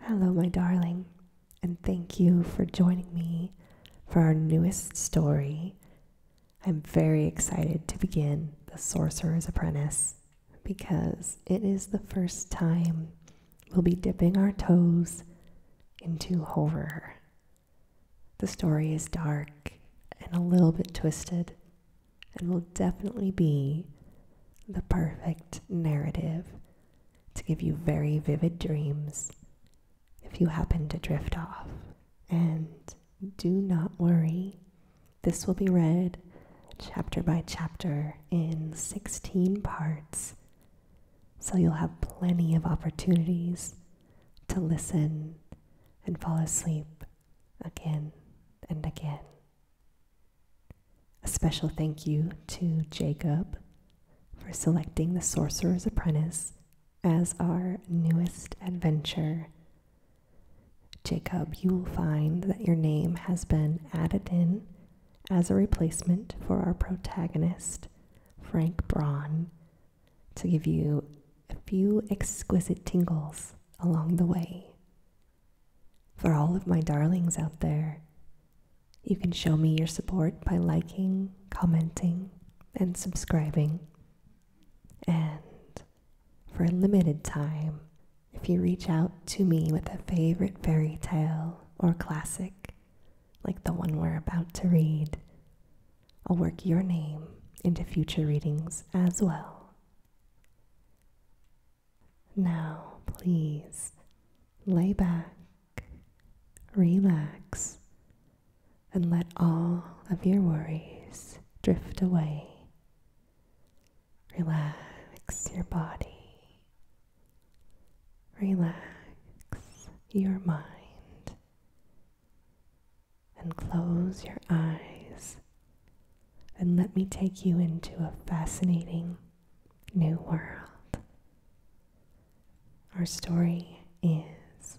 Hello, my darling, and thank you for joining me for our newest story. I'm very excited to begin The Sorcerer's Apprentice because it is the first time we'll be dipping our toes into horror. The story is dark and a little bit twisted and will definitely be the perfect narrative to give you very vivid dreams if you happen to drift off. And do not worry, this will be read chapter by chapter in 16 parts, so you'll have plenty of opportunities to listen and fall asleep again and again. A special thank you to Jacob for selecting The Sorcerer's Apprentice as our newest adventure. Jacob, you will find that your name has been added in as a replacement for our protagonist, Frank Braun, to give you a few exquisite tingles along the way. For all of my darlings out there, you can show me your support by liking, commenting, and subscribing. And for a limited time, if you reach out to me with a favorite fairy tale or classic, like the one we're about to read, I'll work your name into future readings as well. Now, please lay back, relax, and let all of your worries drift away. Relax your body. Relax your mind. And close your eyes. And let me take you into a fascinating new world. Our story is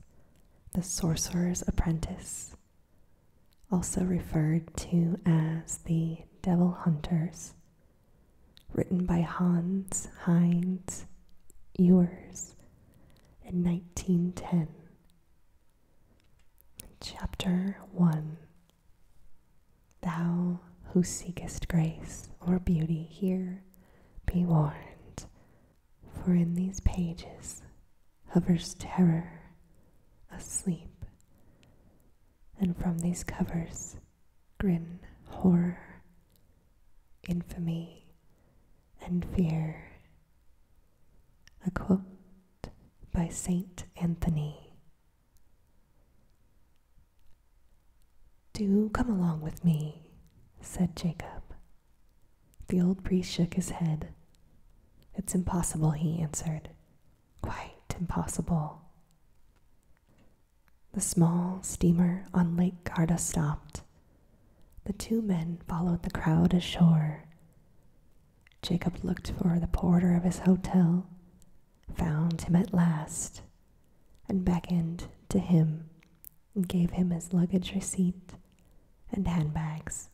The Sorcerer's Apprentice, also referred to as The Devil Hunters, written by Hans Heinz Ewers in 1910. Chapter 1 Thou who seekest grace or beauty here, be warned, for in these pages hovers terror asleep, and from these covers grin horror, infamy, and fear. A quote by Saint Anthony do come along with me, said Jacob. The old priest shook his head. It's impossible, he answered. Quite impossible. The small steamer on Lake Garda stopped. The two men followed the crowd ashore. Jacob looked for the porter of his hotel found him at last, and beckoned to him, and gave him his luggage receipt and handbags.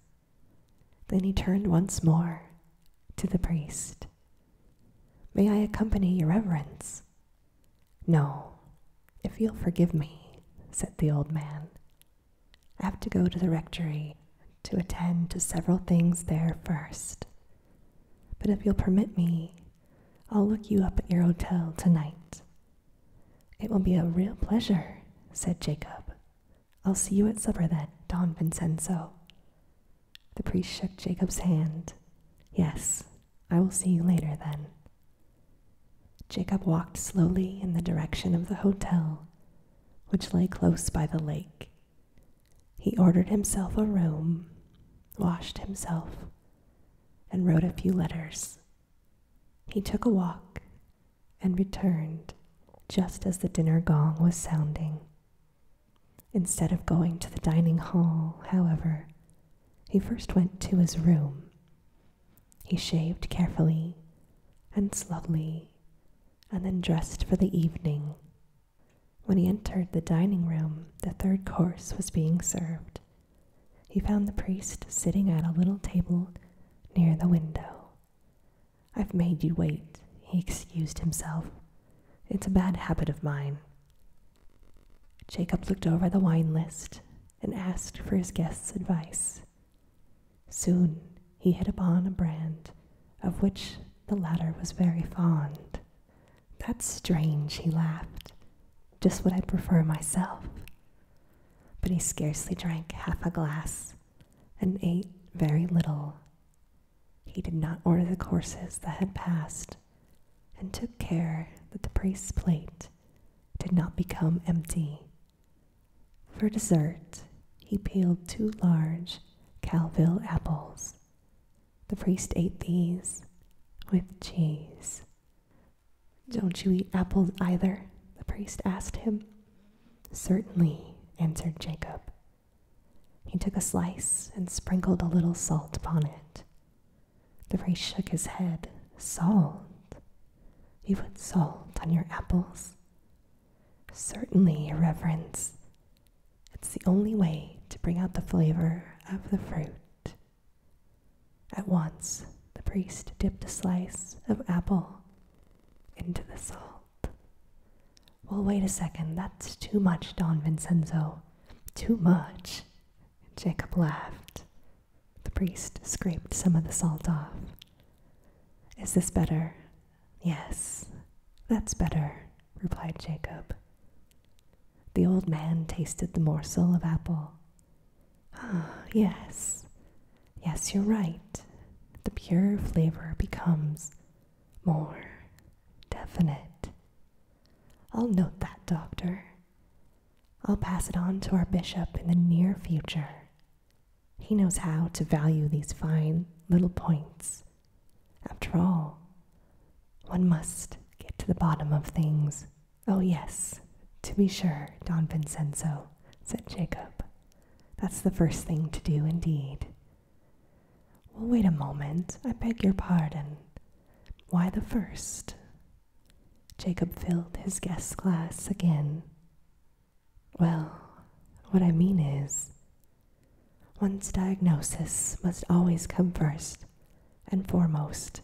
Then he turned once more to the priest. May I accompany your reverence? No, if you'll forgive me, said the old man. I have to go to the rectory to attend to several things there first. But if you'll permit me, I'll look you up at your hotel tonight. It will be a real pleasure, said Jacob. I'll see you at supper then, Don Vincenzo. The priest shook Jacob's hand. Yes, I will see you later then. Jacob walked slowly in the direction of the hotel, which lay close by the lake he ordered himself a room, washed himself, and wrote a few letters. He took a walk and returned just as the dinner gong was sounding. Instead of going to the dining hall, however, he first went to his room. He shaved carefully and slowly, and then dressed for the evening when he entered the dining room, the third course was being served. He found the priest sitting at a little table near the window. I've made you wait, he excused himself. It's a bad habit of mine. Jacob looked over the wine list and asked for his guest's advice. Soon he hit upon a brand of which the latter was very fond. That's strange, he laughed. Just what I prefer myself. But he scarcely drank half a glass and ate very little. He did not order the courses that had passed and took care that the priest's plate did not become empty. For dessert, he peeled two large Calville apples the priest ate these with cheese. Don't you eat apples either? the priest asked him. Certainly, answered Jacob. He took a slice and sprinkled a little salt upon it. The priest shook his head. Salt? You put salt on your apples? Certainly, Your Reverence. It's the only way to bring out the flavor of the fruit. At once, the priest dipped a slice of apple into the salt. Well, wait a second, that's too much, Don Vincenzo. Too much. Jacob laughed. The priest scraped some of the salt off. Is this better? Yes, that's better, replied Jacob. The old man tasted the morsel of apple. Ah, yes, yes, you're right. The pure flavor becomes more definite. I'll note that, Doctor. I'll pass it on to our bishop in the near future. He knows how to value these fine little points. After all, one must get to the bottom of things. Oh, yes, to be sure, Don Vincenzo, said Jacob. That's the first thing to do, indeed. Well, wait a moment. I beg your pardon. Why the first? Jacob filled his guest's glass again. Well, what I mean is, one's diagnosis must always come first, and foremost.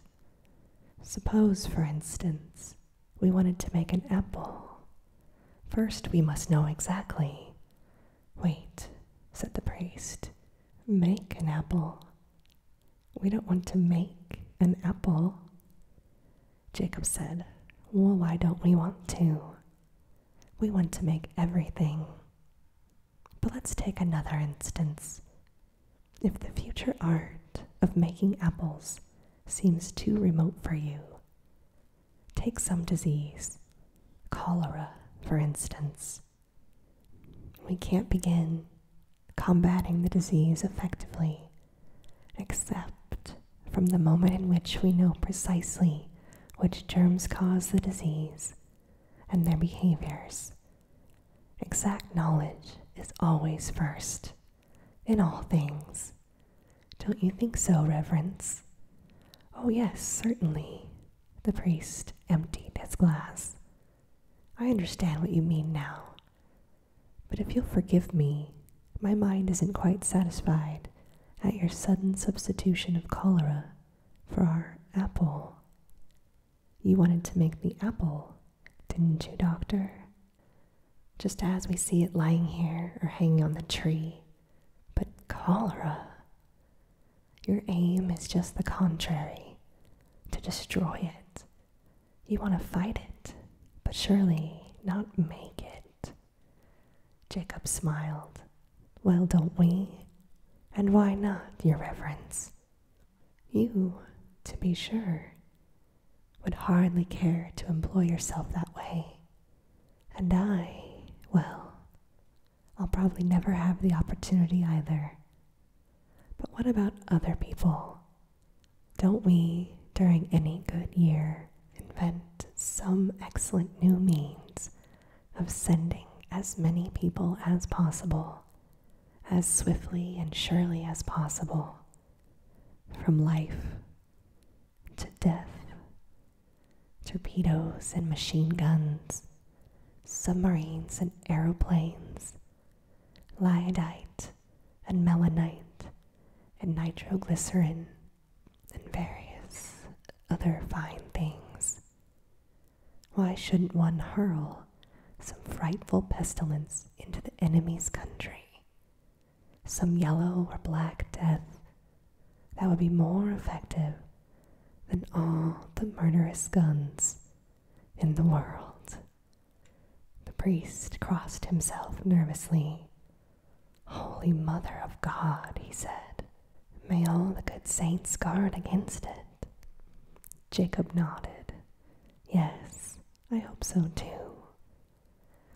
Suppose, for instance, we wanted to make an apple. First, we must know exactly. Wait, said the priest, make an apple. We don't want to make an apple. Jacob said, Well, why don't we want to? We want to make everything. But let's take another instance. If the future art of making apples seems too remote for you, take some disease, cholera, for instance. We can't begin combating the disease effectively except from the moment in which we know precisely which germs cause the disease and their behaviors Exact knowledge is always first, in all things. Don't you think so, Reverence? Oh, yes, certainly. The priest emptied his glass. I understand what you mean now. But if you'll forgive me, my mind isn't quite satisfied at your sudden substitution of cholera for our apple. You wanted to make the apple, didn't you, Doctor? Just as we see it lying here or hanging on the tree. But cholera. Your aim is just the contrary to destroy it. You want to fight it, but surely not make it. Jacob smiled. Well, don't we? And why not, Your Reverence? You, to be sure, would hardly care to employ yourself that way. And I, well, I'll probably never have the opportunity either. But what about other people? Don't we, during any good year, invent some excellent new means of sending as many people as possible as swiftly and surely as possible from life to death, torpedoes and machine guns, submarines and aeroplanes, lyodite and melanite and nitroglycerin and various other fine things. Why shouldn't one hurl some frightful pestilence into the enemy's country? Some yellow or black death that would be more effective than all the murderous guns in the world. The priest crossed himself nervously. Holy Mother of God, he said, may all the good saints guard against it. Jacob nodded. Yes, I hope so too.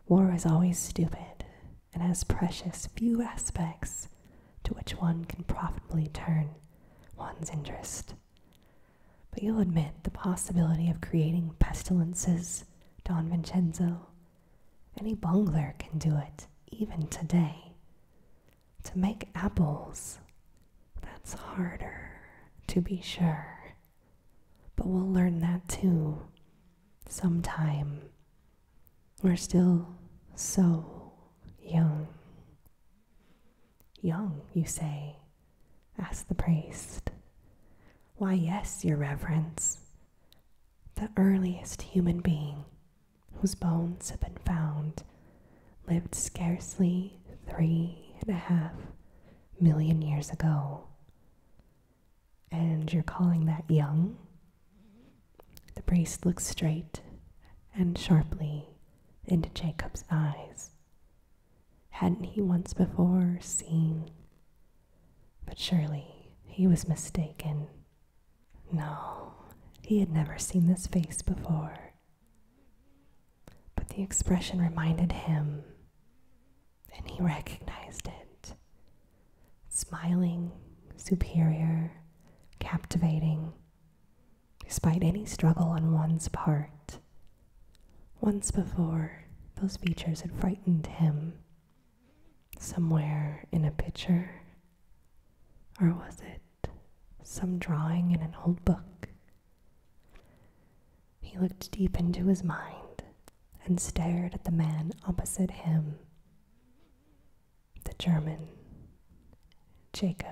War is always stupid and has precious few aspects to which one can profitably turn one's interest. But you'll admit the possibility of creating pestilences, Don Vincenzo. Any bungler can do it, even today. To make apples, that's harder, to be sure. But we'll learn that too, sometime. We're still so young. Young, you say? asked the priest. Why, yes, your reverence. The earliest human being whose bones have been found lived scarcely three and a half million years ago. And you're calling that young? The priest looked straight and sharply into Jacob's eyes. Hadn't he once before seen? But surely he was mistaken. No, he had never seen this face before. But the expression reminded him, and he recognized it. Smiling, superior, captivating, despite any struggle on one's part. Once before, those features had frightened him. Somewhere in a picture? Or was it some drawing in an old book. He looked deep into his mind and stared at the man opposite him, the German, Jacob.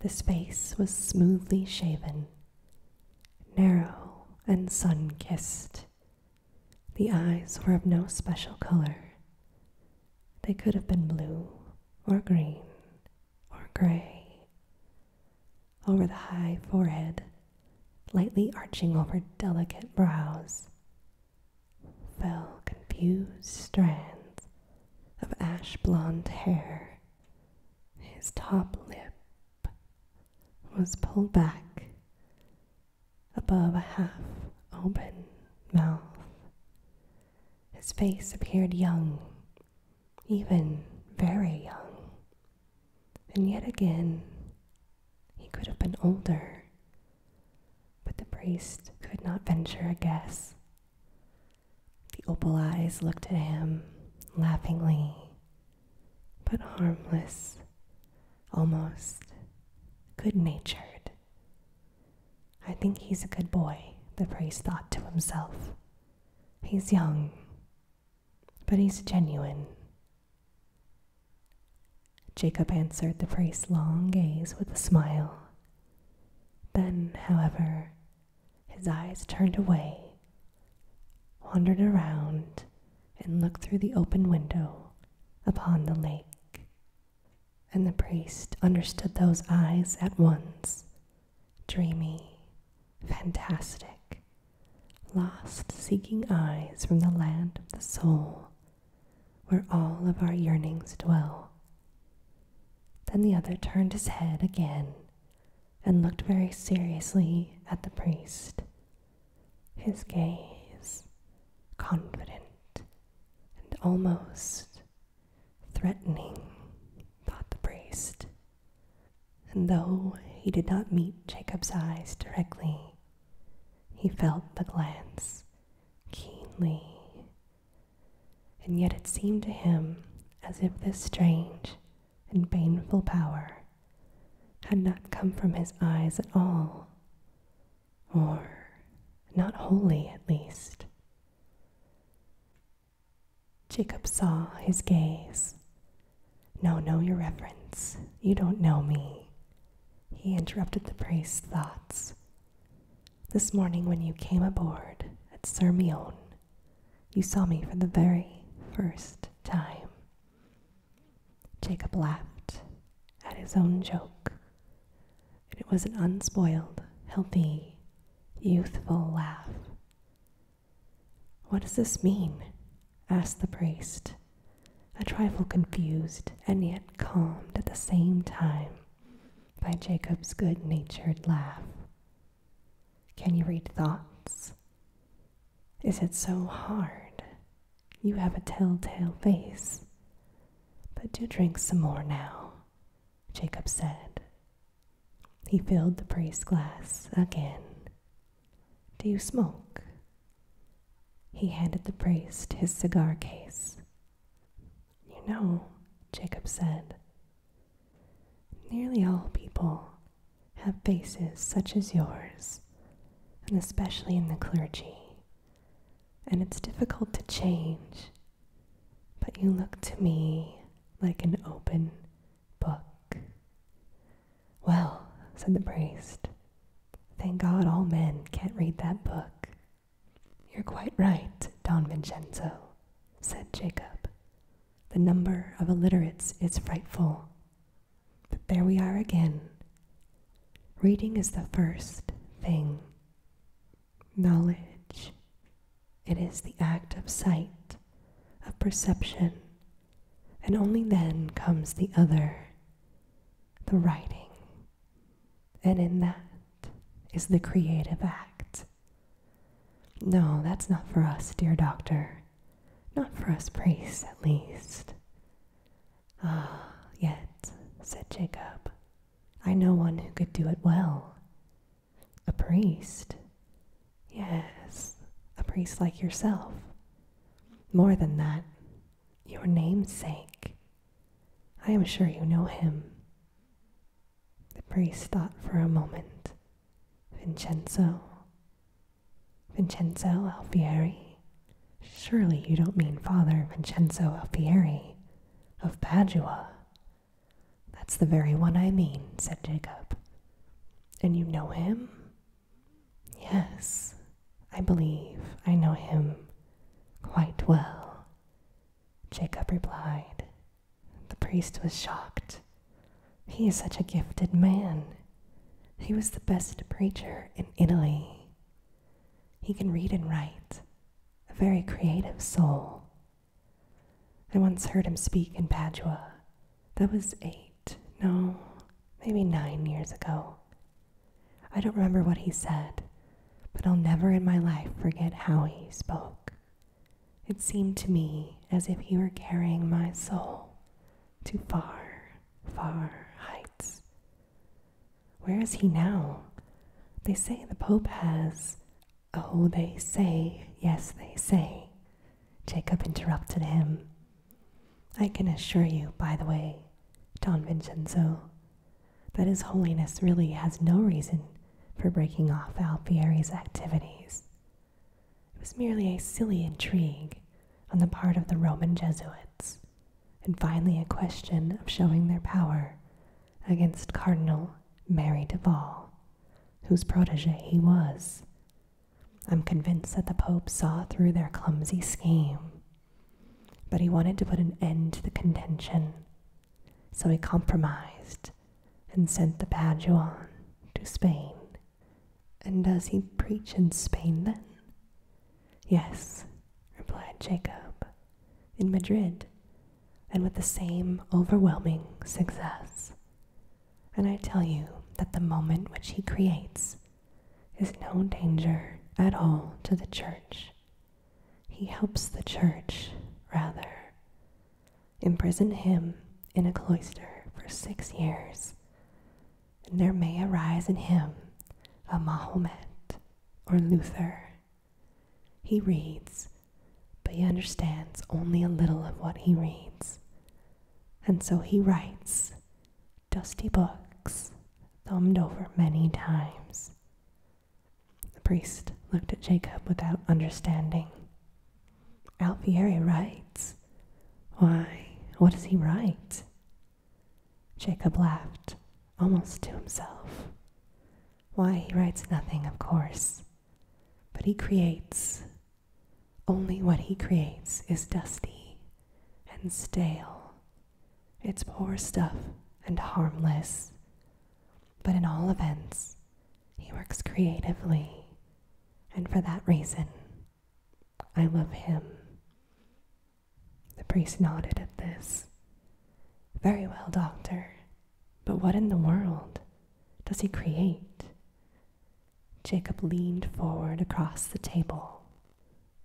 The face was smoothly shaven, narrow and sun kissed. The eyes were of no special color. They could have been blue or green or gray over the high forehead, lightly arching over delicate brows, fell confused strands of ash blonde hair. His top lip was pulled back above a half open mouth. His face appeared young, even very young. And yet again, he could have been older. But the priest could not venture a guess. The opal eyes looked at him laughingly, but harmless, almost good natured. I think he's a good boy, the priest thought to himself. He's young, but he's genuine. Jacob answered the priest's long gaze with a smile. Then, however, his eyes turned away, wandered around, and looked through the open window upon the lake and the priest understood those eyes at once dreamy, fantastic, lost seeking eyes from the land of the soul where all of our yearnings dwell. Then the other turned his head again and looked very seriously at the priest, his gaze confident and almost Threatening, thought the priest. And though he did not meet Jacob's eyes directly, he felt the glance keenly. And yet it seemed to him as if this strange and baneful power had not come from his eyes at all, or not wholly at least. Jacob saw his gaze. No, no, your reverence. You don't know me. He interrupted the priest's thoughts. This morning, when you came aboard at Sirmione, you saw me for the very first time. Jacob laughed at his own joke and it was an unspoiled, healthy, youthful laugh. What does this mean? asked the priest, a trifle confused and yet calmed at the same time by Jacob's good natured laugh. Can you read thoughts? Is it so hard? You have a telltale face. But do drink some more now, Jacob said. He filled the priest's glass again. Do you smoke? He handed the priest his cigar case. You know, Jacob said, nearly all people have faces such as yours, and especially in the clergy. And it's difficult to change, but you look to me like an open book. Well, said the priest, thank God all men can't read that book. You're quite right, Don Vincenzo, said Jacob. The number of illiterates is frightful. But there we are again. Reading is the first thing knowledge. It is the act of sight, of perception, and only then comes the other, the writing. And in that is the creative act. No, that's not for us, dear doctor. Not for us priests, at least. Ah, yet, said Jacob, I know one who could do it well. A priest? Yes, a priest like yourself. More than that, your namesake. I am sure you know him. The priest thought for a moment. Vincenzo. Vincenzo Alfieri. Surely you don't mean Father Vincenzo Alfieri of Padua, that's the very one I mean, said Jacob. And you know him? Yes, I believe I know him quite well. Jacob replied. The priest was shocked. He is such a gifted man. He was the best preacher in Italy. He can read and write, a very creative soul. I once heard him speak in Padua. That was eight, no, maybe nine years ago. I don't remember what he said, but I'll never in my life forget how he spoke. It seemed to me as if he were carrying my soul to far, far heights. Where is he now? They say the Pope has Oh, they say, yes, they say, Jacob interrupted him. I can assure you, by the way, Don Vincenzo, that His Holiness really has no reason for breaking off Alfieri's activities. It was merely a silly intrigue on the part of the Roman Jesuits, and finally a question of showing their power against Cardinal Mary Duval, whose protege he was. I'm convinced that the Pope saw through their clumsy scheme, but he wanted to put an end to the contention, so he compromised and sent the Paduan to Spain. And does he preach in Spain then? Yes, replied Jacob, in Madrid, and with the same overwhelming success. And I tell you that the moment which he creates is no danger at all to the church. He helps the church, rather. Imprison him in a cloister for six years, and there may arise in him a Mahomet or Luther. He reads but he understands only a little of what he reads. And so he writes dusty books, thumbed over many times. The priest looked at Jacob without understanding. Alfieri writes. Why, what does he write? Jacob laughed, almost to himself. Why, he writes nothing, of course but he creates. Only what he creates is dusty and stale. It's poor stuff and harmless. But in all events, he works creatively, and for that reason, I love him. The priest nodded at this. Very well, doctor, but what in the world does he create? Jacob leaned forward across the table.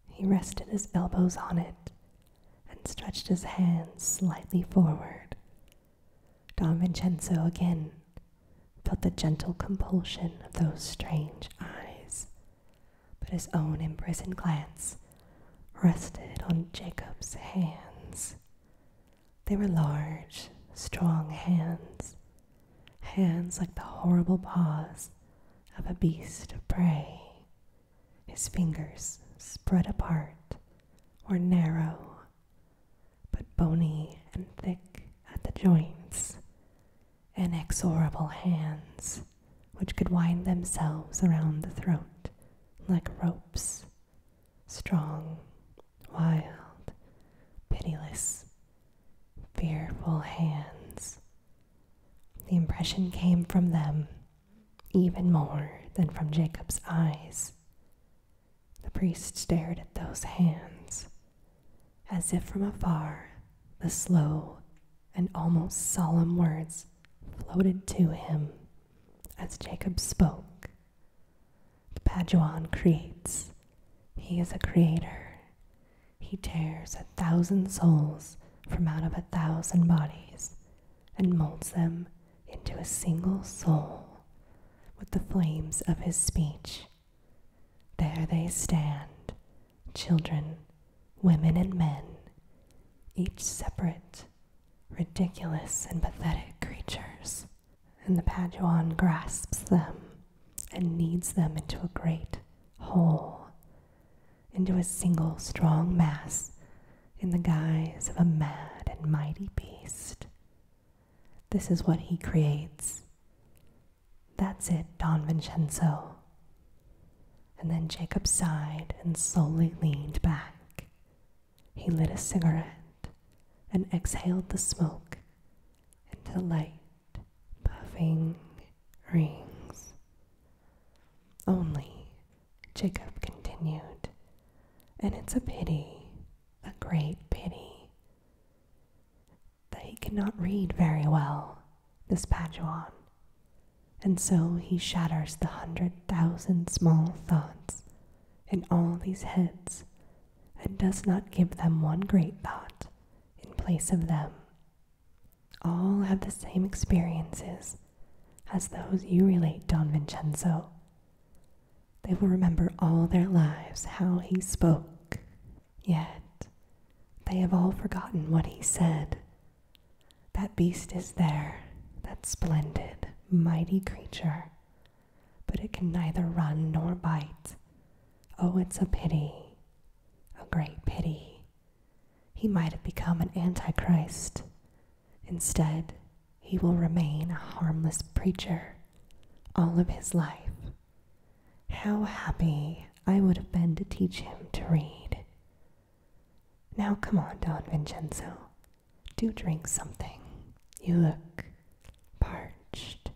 He rested his elbows on it and stretched his hands slightly forward. Don Vincenzo again felt the gentle compulsion of those strange eyes, but his own imprisoned glance rested on Jacob's hands. They were large, strong hands, hands like the horrible paws of a beast of prey. His fingers, spread apart, were narrow, but bony and thick at the joints. Inexorable hands, which could wind themselves around the throat like ropes, strong wild, pitiless, fearful hands. The impression came from them even more than from Jacob's eyes. The priest stared at those hands, as if from afar the slow and almost solemn words floated to him as Jacob spoke the Paduan creates. He is a creator. He tears a thousand souls from out of a thousand bodies and molds them into a single soul with the flames of his speech. There they stand, children, women, and men, each separate, ridiculous, and pathetic creatures and the Paduan grasps them and kneads them into a great whole, into a single strong mass in the guise of a mad and mighty beast. This is what he creates. That's it, Don Vincenzo. And then Jacob sighed and slowly leaned back. He lit a cigarette and exhaled the smoke into light, puffing rings. Only, Jacob continued, and it's a pity, a great pity, that he cannot read very well, this Paduan, and so he shatters the hundred thousand small thoughts in all these heads and does not give them one great thought in place of them. All have the same experiences as those you relate, Don Vincenzo. They will remember all their lives how he spoke, yet they have all forgotten what he said. That beast is there, that splendid, mighty creature but it can neither run nor bite. Oh, it's a pity, a great pity. He might have become an antichrist. Instead, he will remain a harmless preacher all of his life. How happy I would have been to teach him to read. Now, come on, Don Vincenzo. Do drink something. You look parched.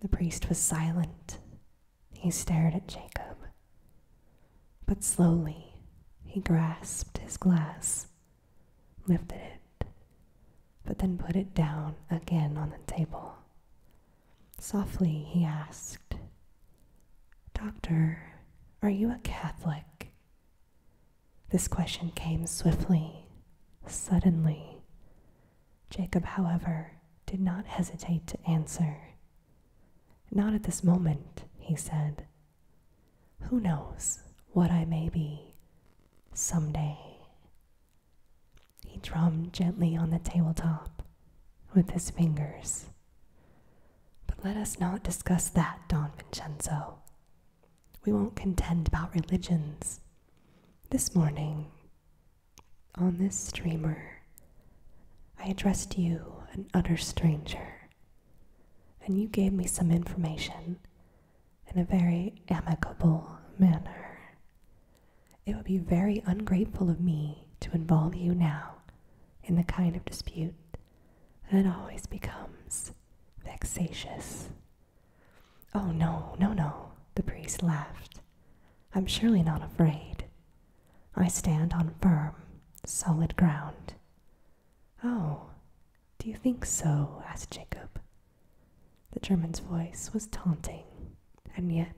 The priest was silent. He stared at Jacob. But slowly he grasped his glass, lifted it, but then put it down again on the table. Softly he asked, Doctor, are you a Catholic? This question came swiftly, suddenly. Jacob, however, did not hesitate to answer. Not at this moment, he said. Who knows what I may be some day? He drummed gently on the tabletop with his fingers. But let us not discuss that, Don Vincenzo. We won't contend about religions. This morning, on this streamer, I addressed you, an utter stranger, and you gave me some information in a very amicable manner. It would be very ungrateful of me to involve you now in the kind of dispute that always becomes vexatious Oh, no, no, no, the priest laughed. I'm surely not afraid. I stand on firm, solid ground. Oh, do you think so? asked Jacob. The German's voice was taunting, and yet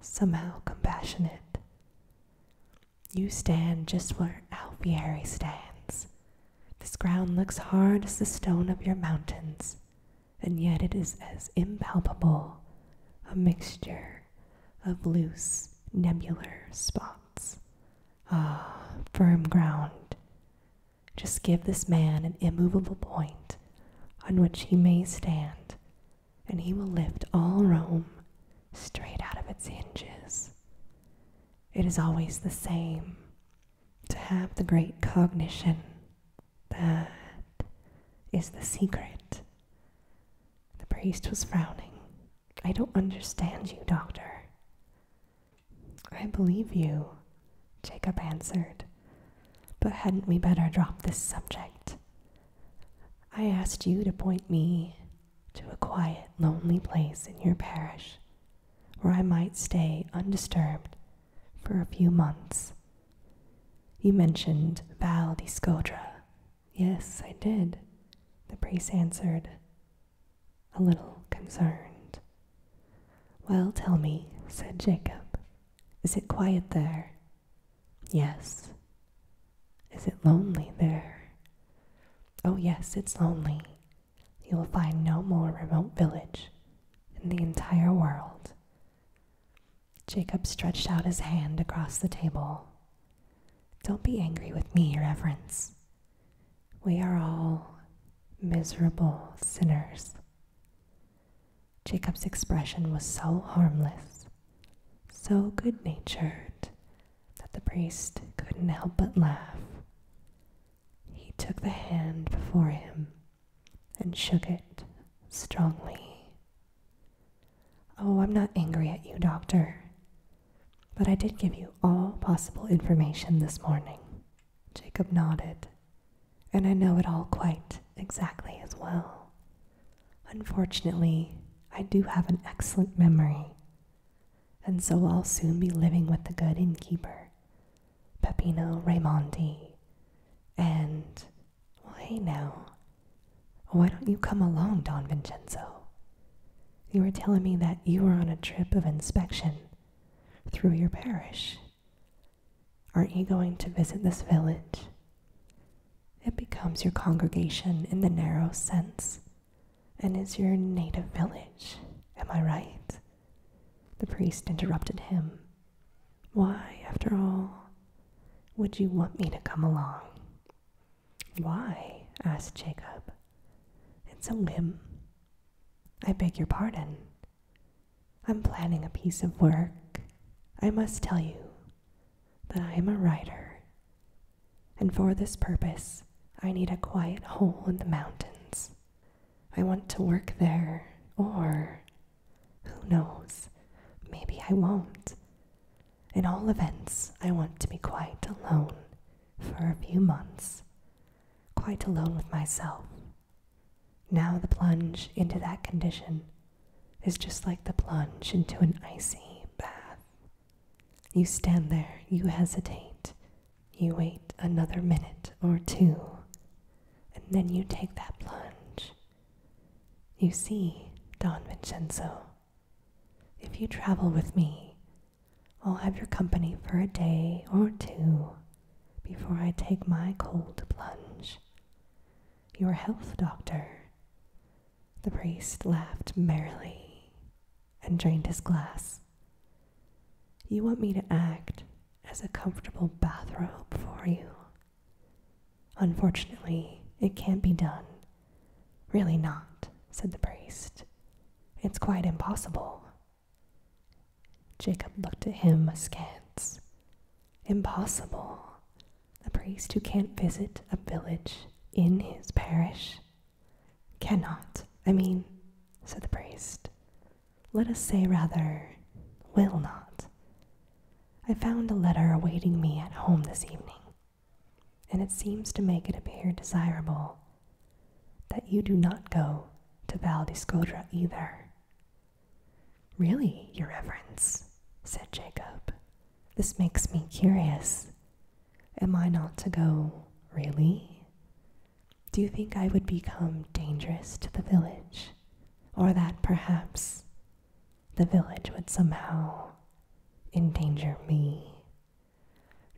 somehow compassionate. You stand just where Alfieri stands, this ground looks hard as the stone of your mountains, and yet it is as impalpable a mixture of loose, nebular spots. Ah, firm ground. Just give this man an immovable point on which he may stand, and he will lift all Rome straight out of its hinges. It is always the same to have the great cognition that is the secret. The priest was frowning. I don't understand you, doctor. I believe you, Jacob answered. But hadn't we better drop this subject? I asked you to point me to a quiet, lonely place in your parish where I might stay undisturbed for a few months. You mentioned Val di Yes, I did, the priest answered, a little concerned. Well, tell me, said Jacob, is it quiet there? Yes. Is it lonely there? Oh, yes, it's lonely. You will find no more remote village in the entire world. Jacob stretched out his hand across the table. Don't be angry with me, Reverence. We are all miserable sinners. Jacob's expression was so harmless, so good natured, that the priest couldn't help but laugh. He took the hand before him and shook it strongly. Oh, I'm not angry at you, Doctor. But I did give you all possible information this morning. Jacob nodded. And I know it all quite exactly as well. Unfortunately, I do have an excellent memory, and so I'll soon be living with the good innkeeper Peppino Raimondi, and, why now, why don't you come along, Don Vincenzo? You were telling me that you were on a trip of inspection through your parish. Aren't you going to visit this village? It becomes your congregation in the narrow sense and is your native village. Am I right? The priest interrupted him. Why, after all, would you want me to come along? Why? asked Jacob. It's a whim. I beg your pardon. I'm planning a piece of work. I must tell you that I am a writer, and for this purpose I need a quiet hole in the mountains I want to work there, or who knows, maybe I won't. In all events, I want to be quite alone for a few months, quite alone with myself. Now, the plunge into that condition is just like the plunge into an icy bath. You stand there, you hesitate, you wait another minute or two, and then you take that plunge. You see, Don Vincenzo, if you travel with me, I'll have your company for a day or two before I take my cold plunge. Your health doctor. The priest laughed merrily and drained his glass. You want me to act as a comfortable bathrobe for you. Unfortunately, it can't be done. Really not, said the priest. It's quite impossible. Jacob looked at him askance. Impossible. A priest who can't visit a village in his parish? Cannot, I mean, said the priest let us say rather, will not. I found a letter awaiting me at home this evening, and it seems to make it appear desirable that you do not go to Val di Scodra either. Really, your reverence, said Jacob, this makes me curious. Am I not to go, really? Do you think I would become dangerous to the village? Or that perhaps the village would somehow endanger me?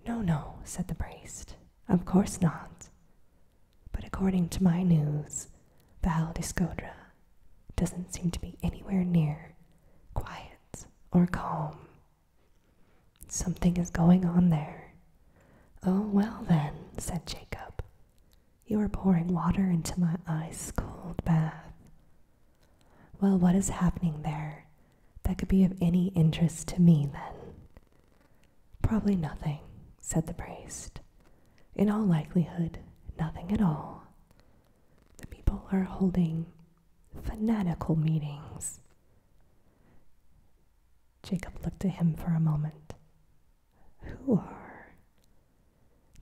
No, no, said the priest. Of course not. But according to my news, Val d'Escodra doesn't seem to be anywhere near quiet or calm. Something is going on there. Oh, well then, said Jacob, you are pouring water into my ice cold bath. Well, what is happening there that could be of any interest to me then? Probably nothing, said the priest. In all likelihood, nothing at all. The people are holding fanatical meetings. Jacob looked at him for a moment. Who are?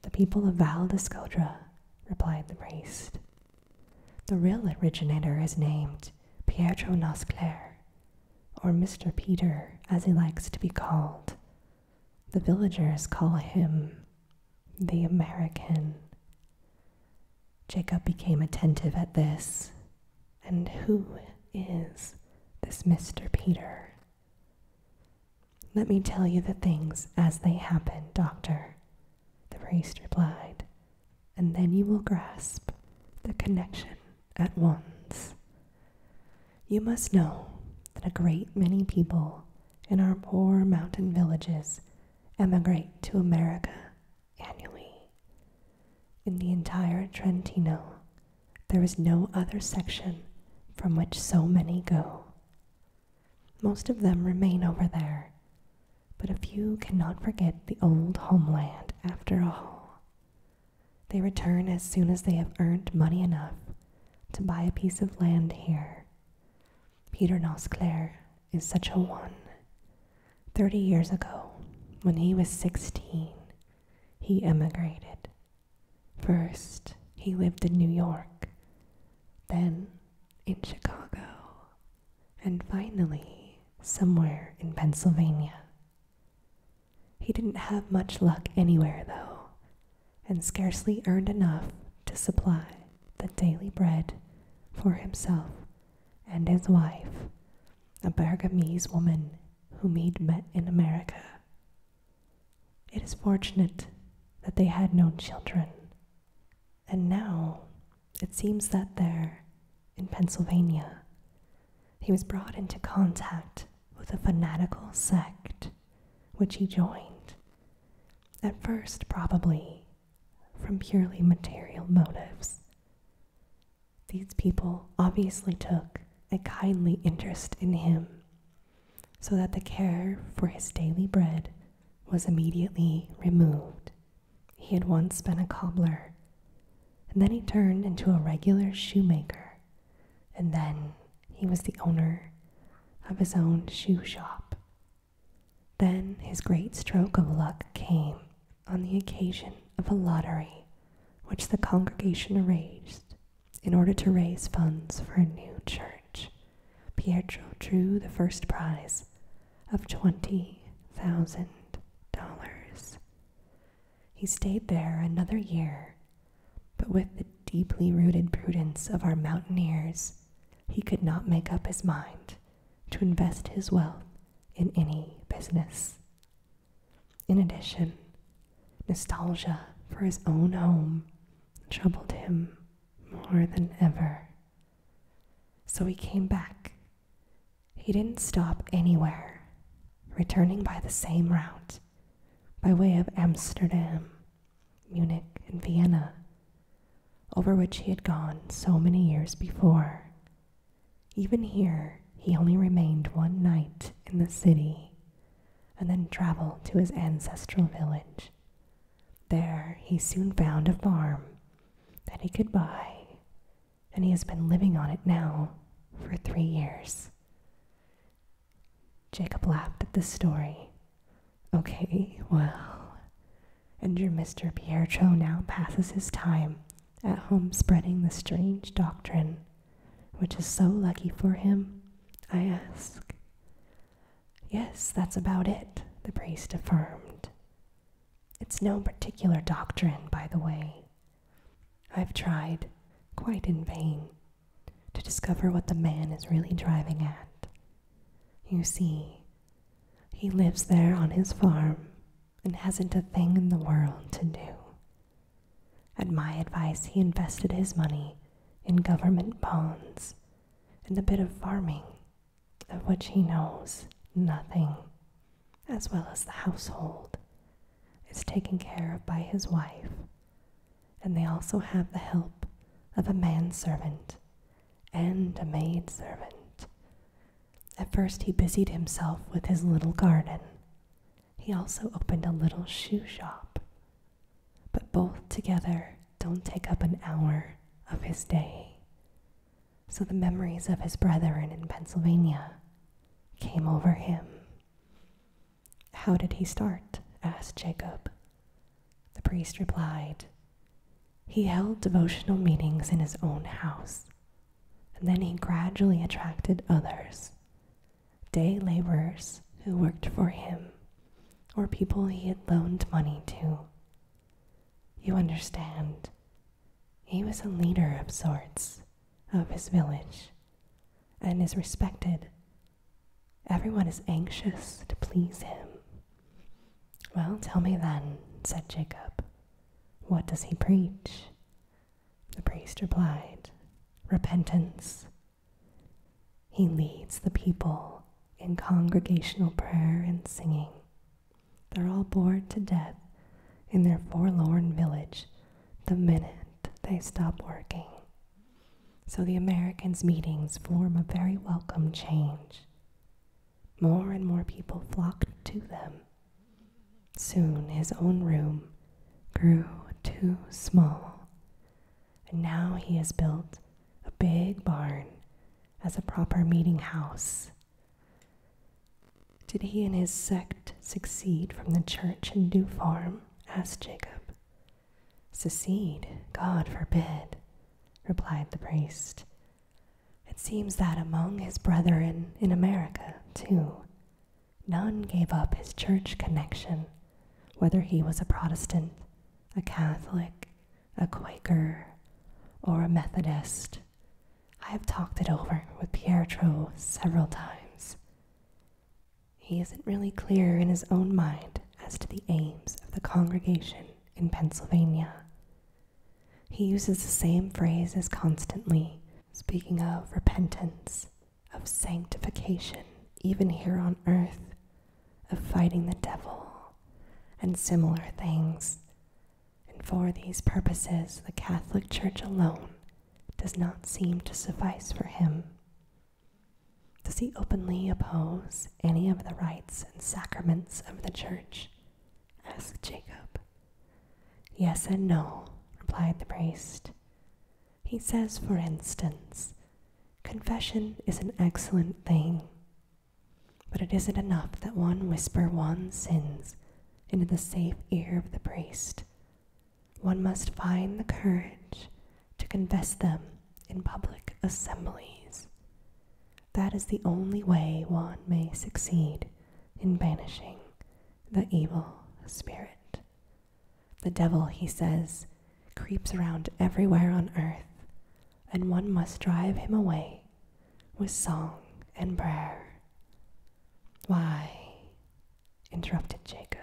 The people of Val d'Escodra, replied the priest. The real originator is named Pietro Nosclair, or Mr. Peter, as he likes to be called. The villagers call him the American. Jacob became attentive at this and who is this Mr. Peter? Let me tell you the things as they happen, Doctor, the priest replied, and then you will grasp the connection at once. You must know that a great many people in our poor mountain villages emigrate to America annually. In the entire Trentino, there is no other section from which so many go. Most of them remain over there, but a few cannot forget the old homeland after all. They return as soon as they have earned money enough to buy a piece of land here. Peter Nosclair is such a one. Thirty years ago, when he was sixteen, he emigrated First, he lived in New York, then in Chicago, and finally somewhere in Pennsylvania. He didn't have much luck anywhere, though, and scarcely earned enough to supply the daily bread for himself and his wife, a Bergamese woman whom he'd met in America it is fortunate that they had no children. And now it seems that there, in Pennsylvania, he was brought into contact with a fanatical sect which he joined, at first probably from purely material motives. These people obviously took a kindly interest in him, so that the care for his daily bread was immediately removed. He had once been a cobbler, and then he turned into a regular shoemaker, and then he was the owner of his own shoe shop. Then his great stroke of luck came on the occasion of a lottery which the congregation arranged in order to raise funds for a new church, Pietro drew the first prize of $20,000. He stayed there another year, but with the deeply rooted prudence of our mountaineers, he could not make up his mind to invest his wealth in any business. In addition, nostalgia for his own home troubled him more than ever. So he came back. He didn't stop anywhere, returning by the same route, by way of Amsterdam, Munich, and Vienna, over which he had gone so many years before. Even here, he only remained one night in the city, and then travel to his ancestral village. There he soon found a farm that he could buy, and he has been living on it now for three years. Jacob laughed at the story. Okay, well. And your Mr. Pietro now passes his time at home spreading the strange doctrine which is so lucky for him? I ask. Yes, that's about it, the priest affirmed. It's no particular doctrine, by the way. I've tried, quite in vain, to discover what the man is really driving at. You see, he lives there on his farm and hasn't a thing in the world to do at my advice, he invested his money in government bonds and a bit of farming, of which he knows nothing, as well as the household is taken care of by his wife, and they also have the help of a manservant and a maidservant. At first, he busied himself with his little garden he also opened a little shoe shop. But both together don't take up an hour of his day. So the memories of his brethren in Pennsylvania came over him. How did he start? asked Jacob. The priest replied, He held devotional meetings in his own house, and then he gradually attracted others day laborers who worked for him, or people he had loaned money to. You understand, he was a leader of sorts of his village and is respected. Everyone is anxious to please him. Well, tell me then, said Jacob, what does he preach? The priest replied, Repentance he leads the people in congregational prayer and singing. They're all bored to death in their forlorn village the minute they stop working. So the Americans' meetings form a very welcome change. More and more people flock to them. Soon his own room grew too small and now he has built a big barn as a proper meeting house. Did he and his sect succeed from the church in New farm? asked Jacob. Secede? God forbid, replied the priest. It seems that among his brethren in America, too, None gave up his church connection, whether he was a Protestant, a Catholic, a Quaker, or a Methodist. I have talked it over with Pietro several times. He isn't really clear in his own mind as to the aims of the congregation in Pennsylvania. He uses the same phrase as constantly, speaking of repentance of sanctification, even here on earth, of fighting the devil, and similar things. And for these purposes, the Catholic Church alone does not seem to suffice for him. Does he openly oppose any of the rites and sacraments of the Church? asked Jacob. Yes and no, replied the priest. He says, for instance, Confession is an excellent thing, but it isn't enough that one whisper one's sins into the safe ear of the priest. One must find the courage to confess them in public assemblies. That is the only way one may succeed in banishing the evil spirit. The devil, he says, creeps around everywhere on earth, and one must drive him away with song and prayer. Why, interrupted Jacob,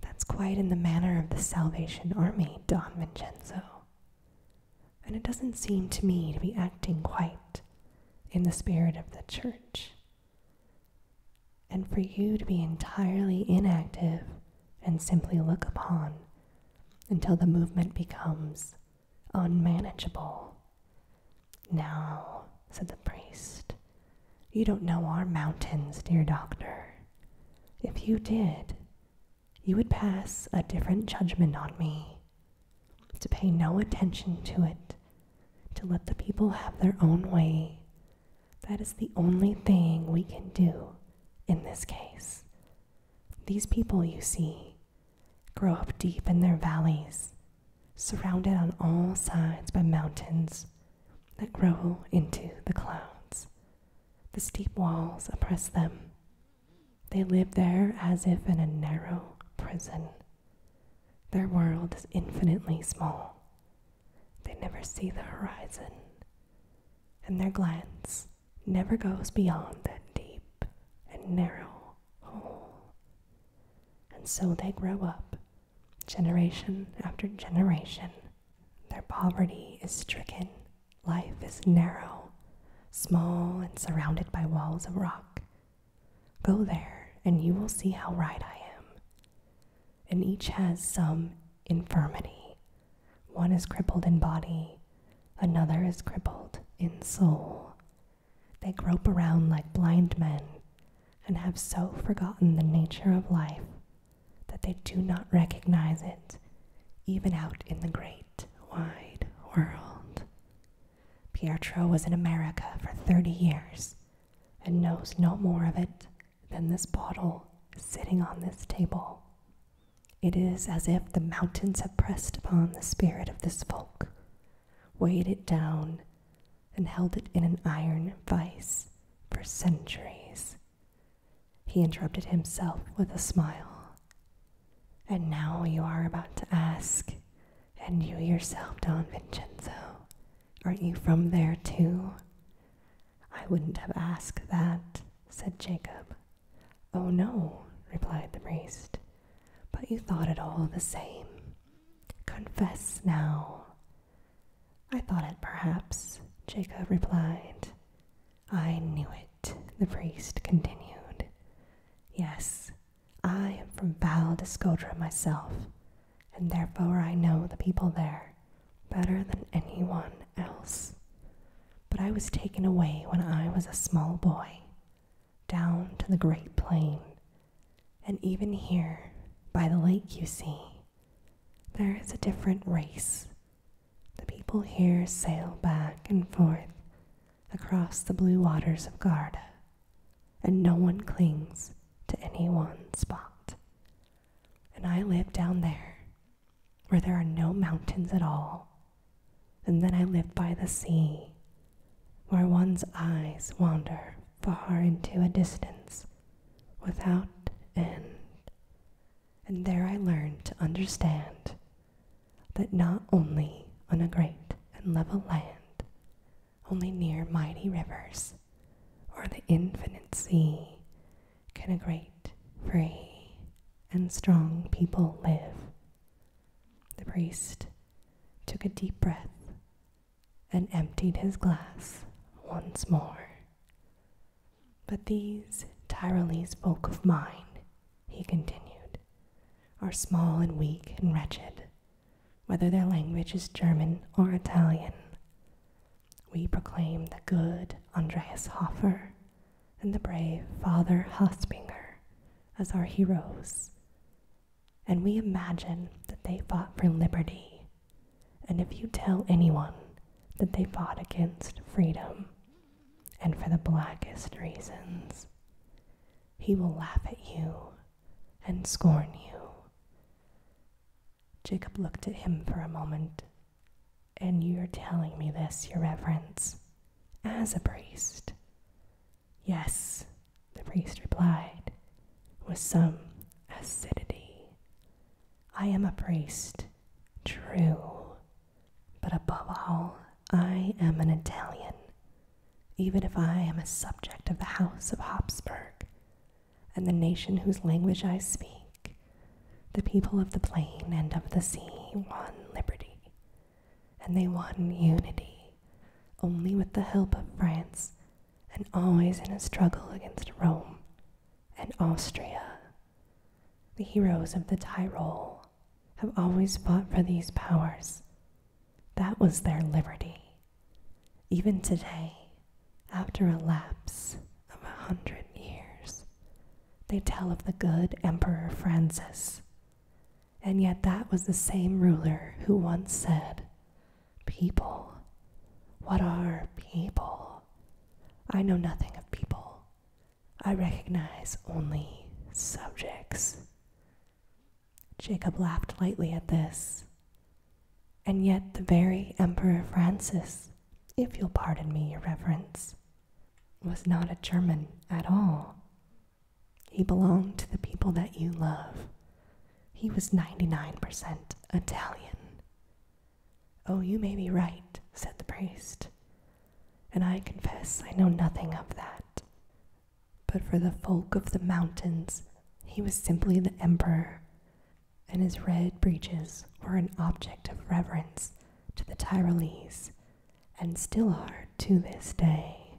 that's quite in the manner of the Salvation Army, Don Vincenzo. And it doesn't seem to me to be acting quite in the spirit of the church and for you to be entirely inactive and simply look upon until the movement becomes unmanageable. Now, said the priest, you don't know our mountains, dear doctor. If you did, you would pass a different judgment on me, to pay no attention to it, to let the people have their own way, that is the only thing we can do in this case. These people, you see, grow up deep in their valleys, surrounded on all sides by mountains that grow into the clouds. The steep walls oppress them. They live there as if in a narrow prison. Their world is infinitely small, they never see the horizon, and their glance never goes beyond that deep and narrow hole. And so they grow up, generation after generation. Their poverty is stricken, life is narrow, small, and surrounded by walls of rock. Go there, and you will see how right I am and each has some infirmity. One is crippled in body, another is crippled in soul. They grope around like blind men and have so forgotten the nature of life that they do not recognize it, even out in the great wide world. Pietro was in America for 30 years and knows no more of it than this bottle sitting on this table. It is as if the mountains had pressed upon the spirit of this folk, weighed it down, and held it in an iron vice for centuries. He interrupted himself with a smile. And now you are about to ask, and you yourself, Don Vincenzo, aren't you from there too? I wouldn't have asked that, said Jacob. Oh no, replied the priest, but you thought it all the same. Confess now. I thought it perhaps, Jacob replied. I knew it, the priest continued. Yes, I am from Val d'Escodra myself, and therefore I know the people there better than anyone else. But I was taken away when I was a small boy, down to the great plain, and even here, by the lake you see, there is a different race. The people here sail back and forth across the blue waters of Garda, and no one clings to any one spot. And I lived down there, where there are no mountains at all. And then I lived by the sea, where one's eyes wander far into a distance without end. And there I learned to understand that not only on a great and level land, only near mighty rivers, or the infinite sea can a great, free, and strong people live? The priest took a deep breath and emptied his glass once more. But these Tyrolese folk of mine, he continued, are small and weak and wretched, whether their language is German or Italian we proclaim the good Andreas Hoffer, and the brave Father Hospinger as our heroes. And we imagine that they fought for liberty. And if you tell anyone that they fought against freedom and for the blackest reasons, he will laugh at you and scorn you. Jacob looked at him for a moment. And you're telling me this, your reverence, as a priest? Yes, the priest replied, with some acidity. I am a priest, true, but above all, I am an Italian, even if I am a subject of the House of Habsburg and the nation whose language I speak, the people of the plain and of the sea, won liberty, and they won unity only with the help of France, and always in a struggle against Rome and Austria. The heroes of the Tyrol have always fought for these powers. That was their liberty. Even today, after a lapse of a hundred years, they tell of the good Emperor Francis. And yet, that was the same ruler who once said, People, what are people? I know nothing of people. I recognize only subjects. Jacob laughed lightly at this, and yet the very Emperor Francis, if you'll pardon me, Your Reverence, was not a German at all. He belonged to the people that you love. He was 99% Italian. Oh, you may be right, said the priest, and I confess I know nothing of that. But for the folk of the mountains, he was simply the emperor, and his red breeches were an object of reverence to the Tyrolese, and still are to this day.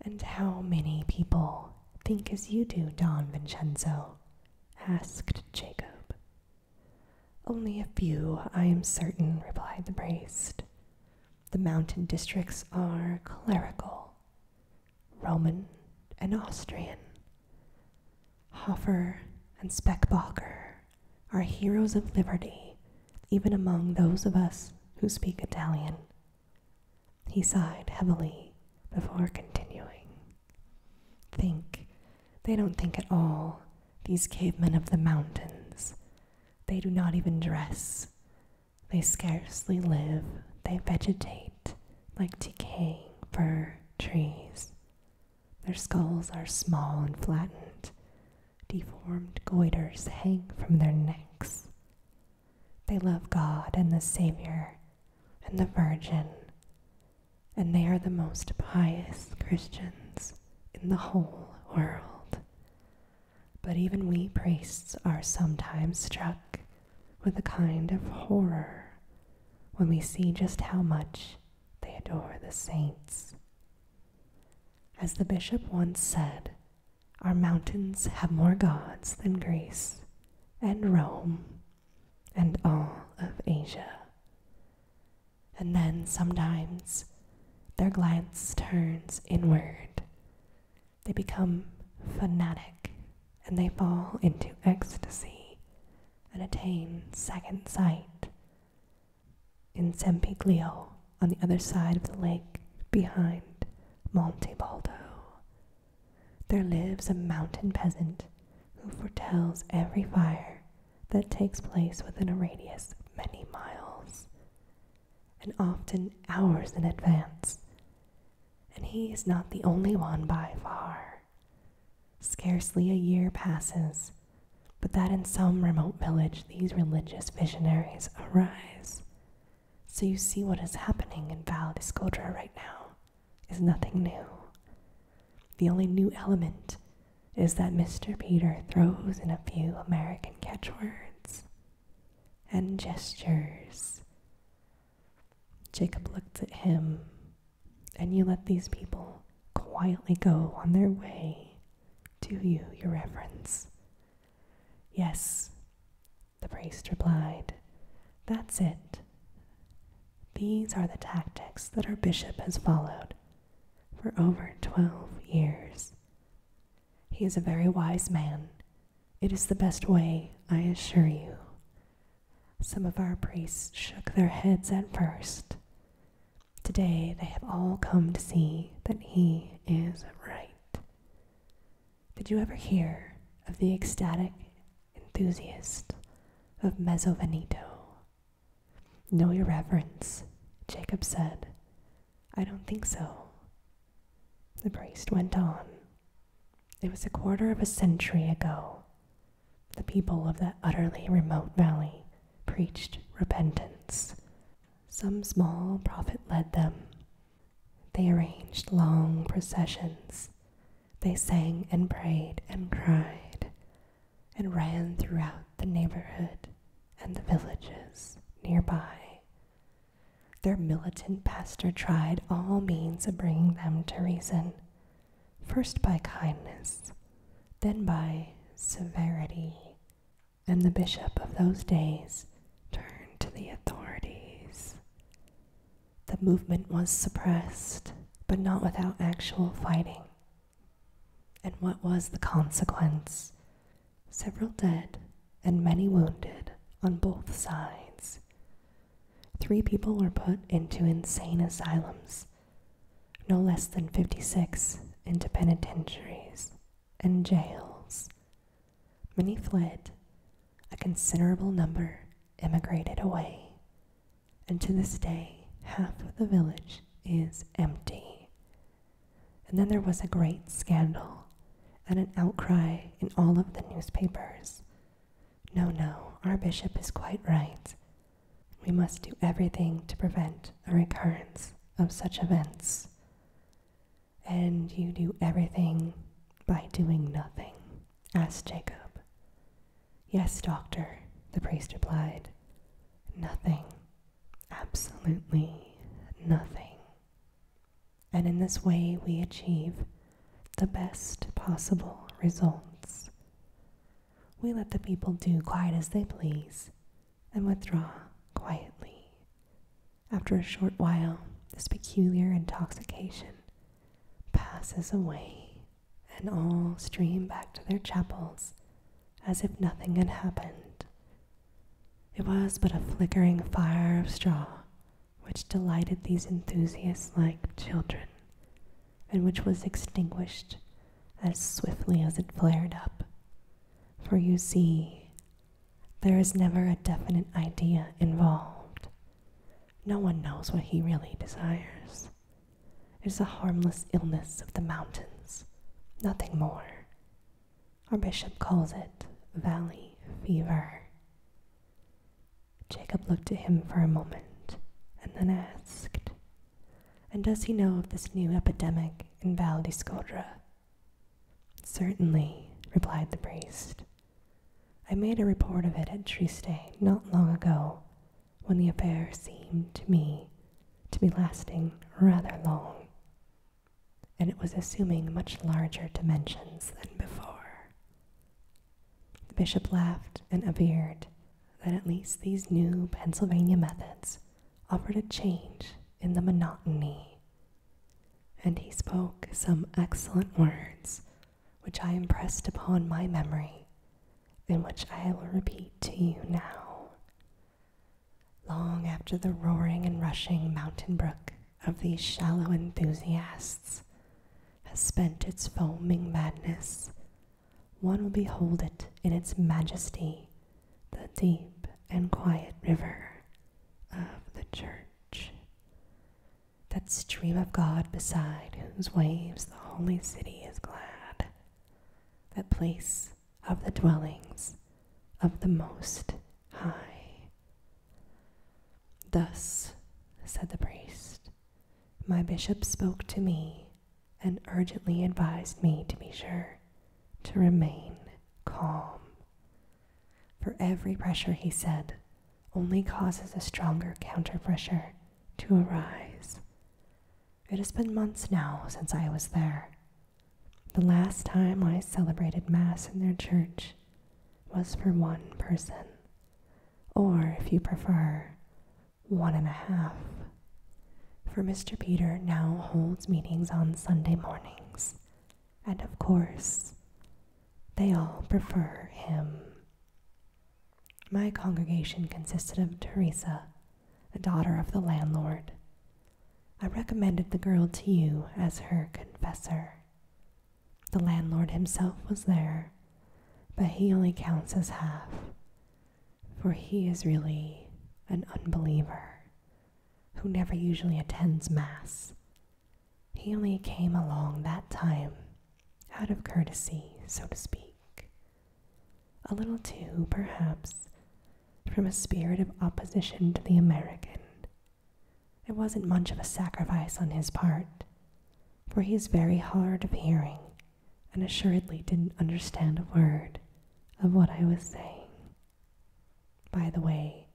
And how many people think as you do, Don Vincenzo? asked Jacob. Only a few, I am certain, replied the priest. The mountain districts are clerical, Roman, and Austrian, Hoffer and Speckbacher are heroes of liberty, even among those of us who speak Italian. He sighed heavily before continuing. Think. They don't think at all, these cavemen of the mountains. They do not even dress. They scarcely live. They vegetate like decaying fir trees. Their skulls are small and flattened. Deformed goiters hang from their necks. They love God and the Savior and the Virgin, and they are the most pious Christians in the whole world. But even we priests are sometimes struck with a kind of horror when we see just how much they adore the saints. As the bishop once said, our mountains have more gods than Greece and Rome and all of Asia. And then sometimes their glance turns inward. They become fanatic and they fall into ecstasy and attain second sight. In Sempiglio, on the other side of the lake, behind Monte Baldo, there lives a mountain peasant who foretells every fire that takes place within a radius of many miles, and often hours in advance. And he is not the only one by far. Scarcely a year passes but that in some remote village these religious visionaries arise. So you see what is happening in Val d'Iscoudre right now is nothing new. The only new element is that Mr. Peter throws in a few American catchwords and gestures Jacob looked at him, and you let these people quietly go on their way. Do you, your reverence? Yes, the priest replied. That's it. These are the tactics that our bishop has followed for over twelve years. He is a very wise man. It is the best way, I assure you. Some of our priests shook their heads at first. Today they have all come to see that he is right. Did you ever hear of the ecstatic enthusiast of Mezzovenito? No, Your Reverence, Jacob said. I don't think so. The priest went on. It was a quarter of a century ago the people of that utterly remote valley preached repentance. Some small prophet led them. They arranged long processions. They sang and prayed and cried and ran throughout the neighborhood and the villages nearby. Their militant pastor tried all means of bringing them to reason first by kindness, then by severity. And the bishop of those days turned to the authorities. The movement was suppressed, but not without actual fighting. And what was the consequence? Several dead and many wounded on both sides. Three people were put into insane asylums no less than 56 into penitentiaries and jails. Many fled, a considerable number emigrated away, and to this day, half of the village is empty. And then there was a great scandal and an outcry in all of the newspapers. No, no, our bishop is quite right. We must do everything to prevent a recurrence of such events. And you do everything by doing nothing, asked Jacob. Yes, doctor, the priest replied. Nothing. Absolutely nothing. And in this way, we achieve the best possible results. We let the people do quite as they please, and withdraw quietly. After a short while, this peculiar intoxication passes away, and all stream back to their chapels as if nothing had happened. It was but a flickering fire of straw which delighted these enthusiasts like children, and which was extinguished as swiftly as it flared up. For you see, there is never a definite idea involved. No one knows what he really desires. It is a harmless illness of the mountains, nothing more. Our bishop calls it valley fever. Jacob looked at him for a moment and then asked, and does he know of this new epidemic in Val di Scodra? Certainly, replied the priest. I made a report of it at Triste not long ago, when the affair seemed to me to be lasting rather long, and it was assuming much larger dimensions than before. The bishop laughed and averred that at least these new Pennsylvania methods offered a change in the monotony. And he spoke some excellent words, which I impressed upon my memory, and which I will repeat to you now. Long after the roaring and rushing mountain brook of these shallow enthusiasts has spent its foaming madness one will behold it in its majesty, the deep and quiet river of the church. That stream of God beside whose waves the holy city is glad, that place of the dwellings of the Most High. Thus, said the priest, my bishop spoke to me and urgently advised me to be sure to remain calm. For every pressure, he said, only causes a stronger counter pressure to arise. It has been months now since I was there. The last time I celebrated Mass in their church was for one person, or if you prefer, one and a half. For Mr. Peter now holds meetings on Sunday mornings, and of course, they all prefer him. My congregation consisted of Teresa, the daughter of the landlord. I recommended the girl to you as her confessor. The landlord himself was there, but he only counts as half for he is really an unbeliever who never usually attends Mass. He only came along that time out of courtesy, so to speak. A little too, perhaps, from a spirit of opposition to the American. It wasn't much of a sacrifice on his part, for he is very hard of hearing and assuredly didn't understand a word of what I was saying. By the way,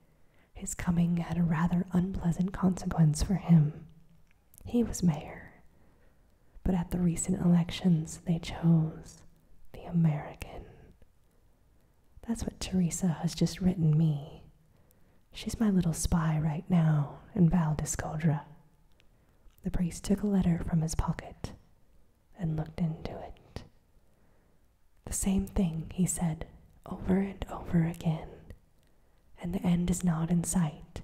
his coming had a rather unpleasant consequence for him. He was mayor, but at the recent elections they chose the American. That's what Teresa has just written me. She's my little spy right now in Val the priest took a letter from his pocket and looked into it. The same thing, he said, over and over again. And the end is not in sight.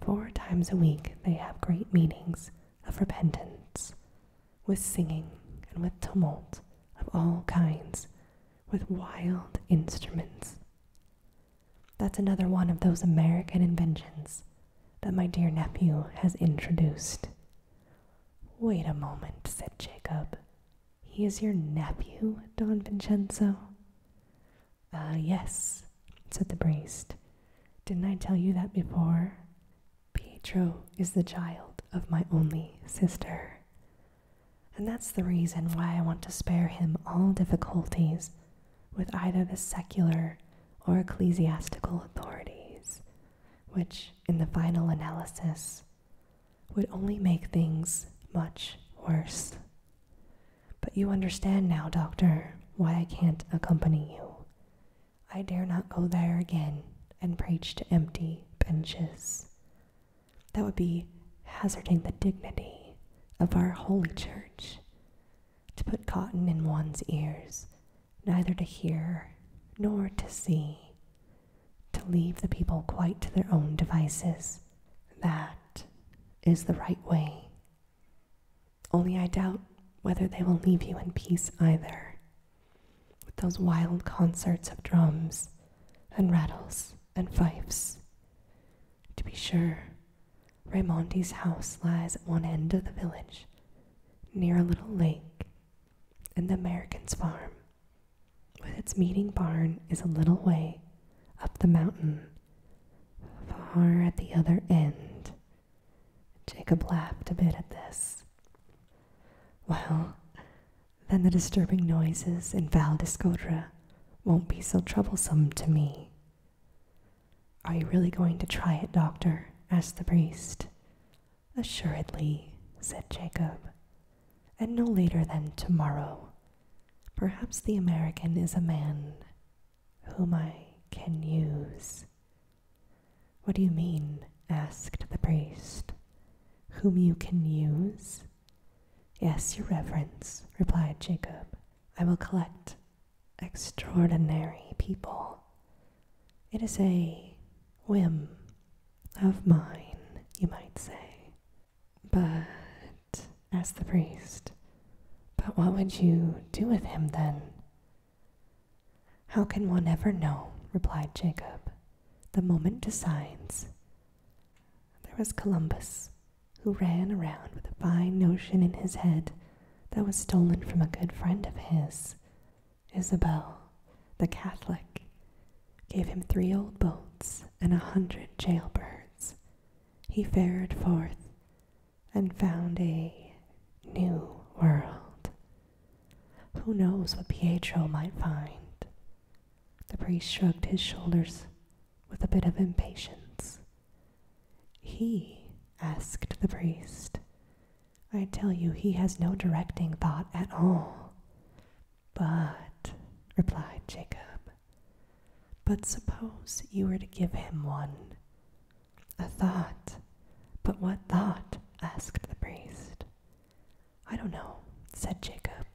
Four times a week they have great meetings of repentance, with singing and with tumult of all kinds, with wild instruments. That's another one of those American inventions that my dear nephew has introduced. Wait a moment, said Jacob. He is your nephew, Don Vincenzo? Ah, yes, said the priest. Didn't I tell you that before? Pietro is the child of my only sister. And that's the reason why I want to spare him all difficulties with either the secular or ecclesiastical authorities, which, in the final analysis, would only make things much worse. But you understand now, Doctor, why I can't accompany you. I dare not go there again and preach to empty benches. That would be hazarding the dignity of our holy church to put cotton in one's ears, neither to hear nor to see, to leave the people quite to their own devices. That is the right way. Only I doubt whether they will leave you in peace either, with those wild concerts of drums and rattles and fifes. To be sure, Raimondi's house lies at one end of the village, near a little lake, and the American's farm, with its meeting barn, is a little way up the mountain, far at the other end. Jacob laughed a bit at this. Well, then the disturbing noises in Val d'Escodra won't be so troublesome to me, are you really going to try it, doctor? asked the priest. Assuredly, said Jacob, and no later than tomorrow. Perhaps the American is a man whom I can use. What do you mean? asked the priest. Whom you can use? Yes, Your Reverence, replied Jacob. I will collect extraordinary people. It is a whim of mine, you might say. But, asked the priest, but what would you do with him then? How can one ever know? replied Jacob. The moment decides. There was Columbus, who ran around with a fine notion in his head that was stolen from a good friend of his. Isabel, the Catholic, gave him three old boats and a hundred jailbirds. He fared forth and found a new world. Who knows what Pietro might find? The priest shrugged his shoulders with a bit of impatience. He? asked the priest. I tell you, he has no directing thought at all. But, replied Jacob, but suppose you were to give him one. A thought. But what thought? asked the priest. I don't know, said Jacob.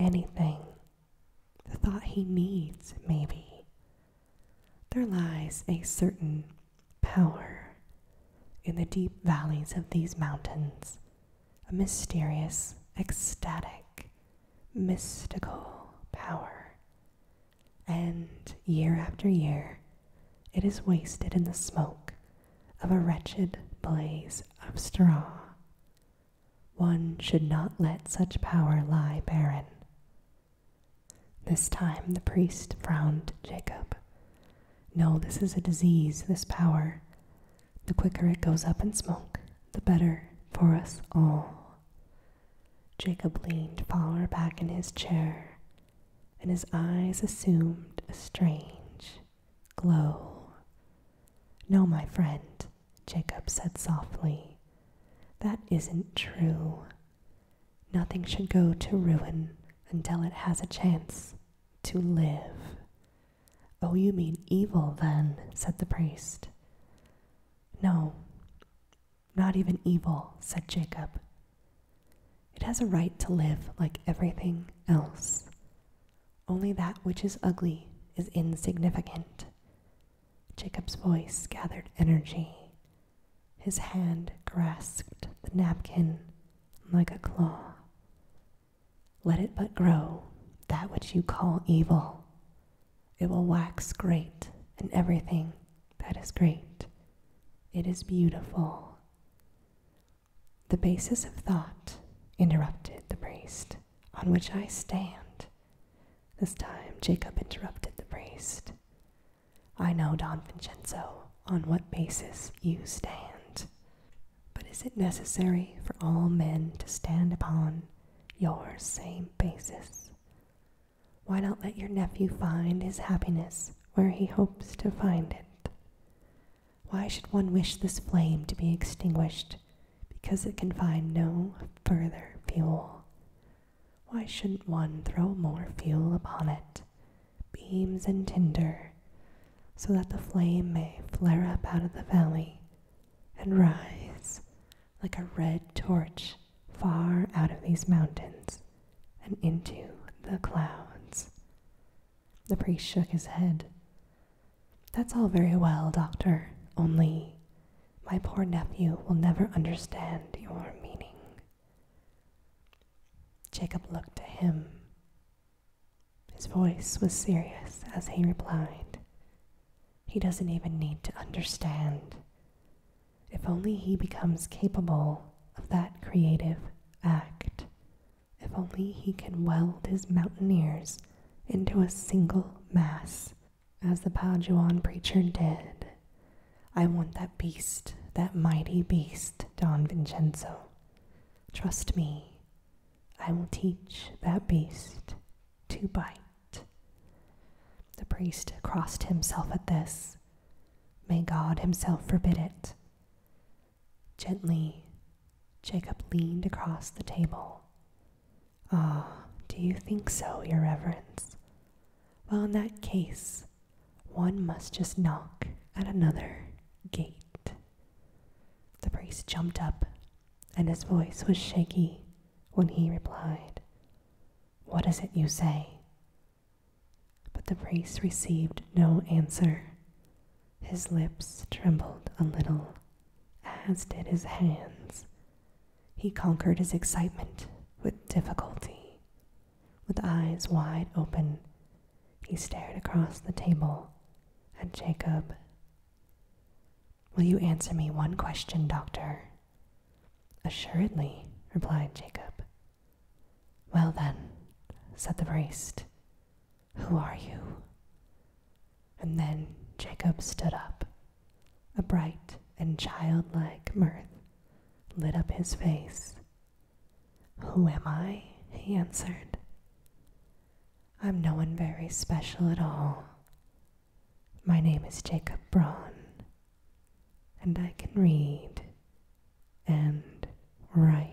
Anything. The thought he needs, maybe. There lies a certain power in the deep valleys of these mountains, a mysterious, ecstatic, mystical power. And year after year, it is wasted in the smoke of a wretched blaze of straw. One should not let such power lie barren. This time the priest frowned Jacob. No, this is a disease, this power. The quicker it goes up in smoke, the better for us all. Jacob leaned far back in his chair, and his eyes assumed a strange glow. No, my friend, Jacob said softly, that isn't true. Nothing should go to ruin until it has a chance to live. Oh, you mean evil, then, said the priest. No, not even evil, said Jacob. It has a right to live like everything else. Only that which is ugly is insignificant. Jacob's voice gathered energy his hand grasped the napkin like a claw. Let it but grow, that which you call evil. It will wax great and everything that is great. It is beautiful. The basis of thought, interrupted the priest, on which I stand. This time Jacob interrupted the priest. I know, Don Vincenzo, on what basis you stand. But is it necessary for all men to stand upon your same basis? Why not let your nephew find his happiness where he hopes to find it? Why should one wish this flame to be extinguished because it can find no further fuel? Why shouldn't one throw more fuel upon it, beams and tinder, so that the flame may flare up out of the valley and rise like a red torch far out of these mountains and into the clouds? The priest shook his head. That's all very well, doctor, only my poor nephew will never understand your meaning. Jacob looked at him. His voice was serious as he replied, He doesn't even need to understand. If only he becomes capable of that creative act, if only he can weld his mountaineers into a single mass, as the Paduan preacher did, I want that beast, that mighty beast, Don Vincenzo. Trust me, I will teach that beast to bite. The priest crossed himself at this. May God himself forbid it. Gently, Jacob leaned across the table. Ah, do you think so, Your Reverence? Well, in that case, one must just knock at another gate. The priest jumped up, and his voice was shaky when he replied, What is it you say? But the priest received no answer. His lips trembled a little, as did his hands. He conquered his excitement with difficulty. With eyes wide open, he stared across the table at Jacob. Will you answer me one question, doctor? Assuredly, replied Jacob. Well then, said the priest, who are you? And then Jacob stood up. A bright and childlike mirth lit up his face who am I? he answered. I'm no one very special at all. My name is Jacob Braun, and I can read and write.